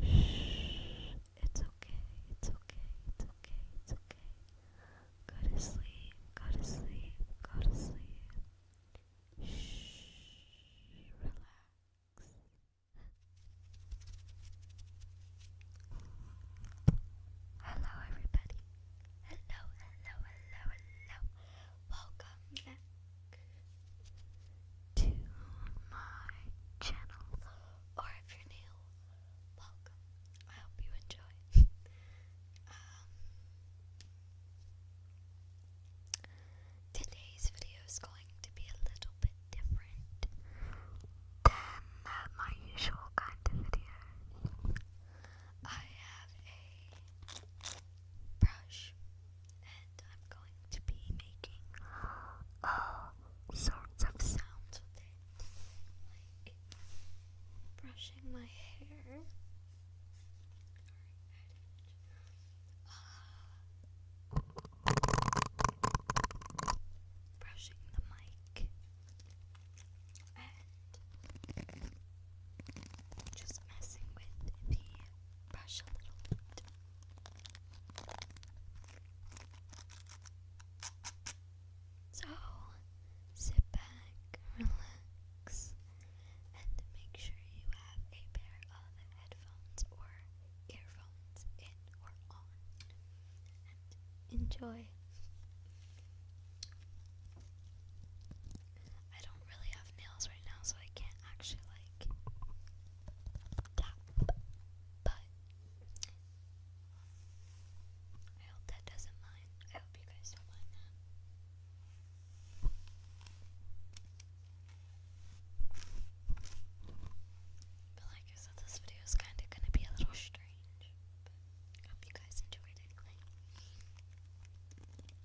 Shh. It's okay. It's okay. It's okay. It's okay. Go to sleep. Go to sleep. Go to sleep. Shh. Relax. Hello, everybody. Hello, hello, hello, hello. Welcome back to my channel, or if you're new, welcome. I hope you enjoy. Um, today's video is going to be a little bit different than uh, my usual kind of video. I have a brush I'm going to be making all sorts of sounds with like brushing my hair. Uh, brushing the mic and just messing with the brush a little bit. So sit back, relax, and make sure you have a pair of headphones or earphones in or on. And enjoy. I don't really have nails right now, so I can't actually like tap. I hope that doesn't mind. I hope you guys don't mind But like I said, this video is kind of going to be a little strange. hope you guys enjoyed it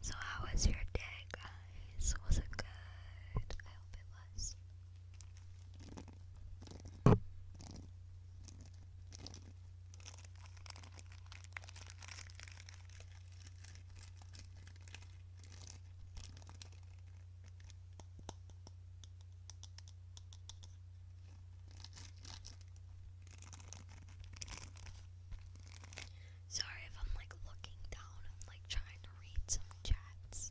So, how was your day, guys? Was it good? I hope it was. Sorry if I'm like looking down, I'm like trying to read some chats.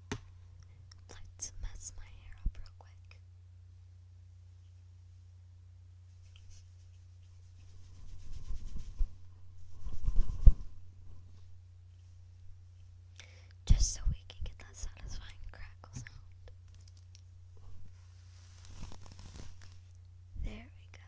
I'd mess my hair up real quick. Just so we can get that satisfying crackle sound. There we go.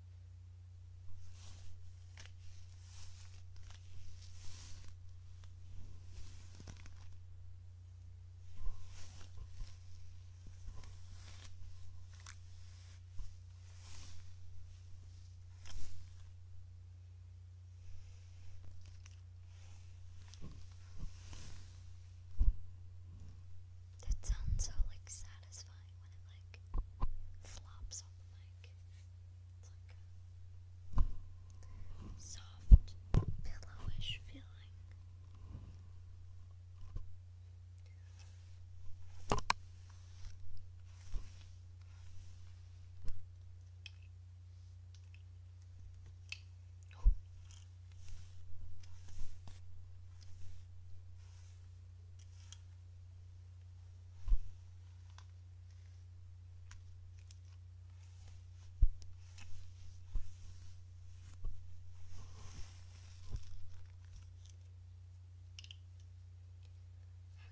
That sounds so like satisfying fine when it like flops on the mic. It's like soft, pillowish feeling.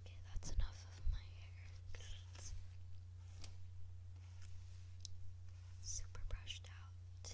Okay, that's enough of my hair super brushed out.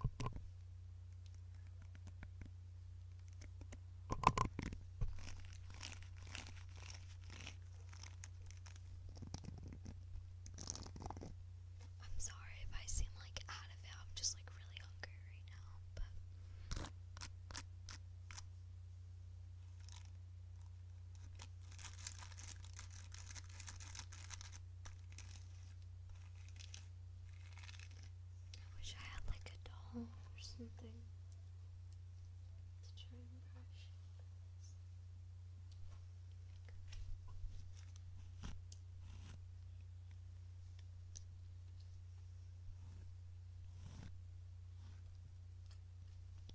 I'm sorry if I seem like out of it. I'm just like really hungry right now, but I wish I had like a doll or something to try and brush.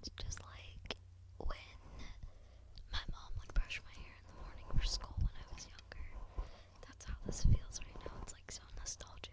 It's just like when my mom would brush my hair in the morning for school when I was younger. That's how this feels right now. It's like so nostalgic.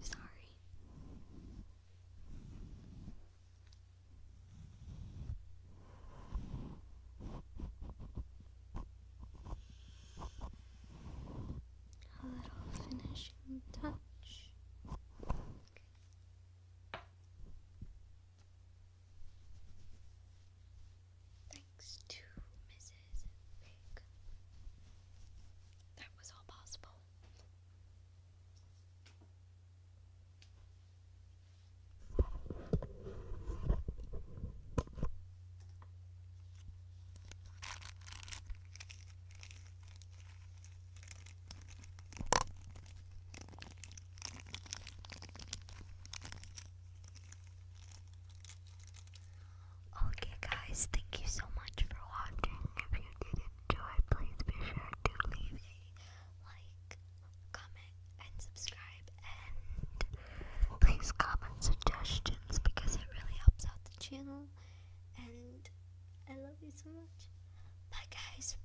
Sorry. A little finishing touch. Thanks to Mrs. Pig. That was all possible. Okay, guys, thank you so much for watching. If you did enjoy, please be sure to leave a like, comment, and subscribe. And please comment suggestions because it really helps out the channel. And I love you so much. Bye, guys.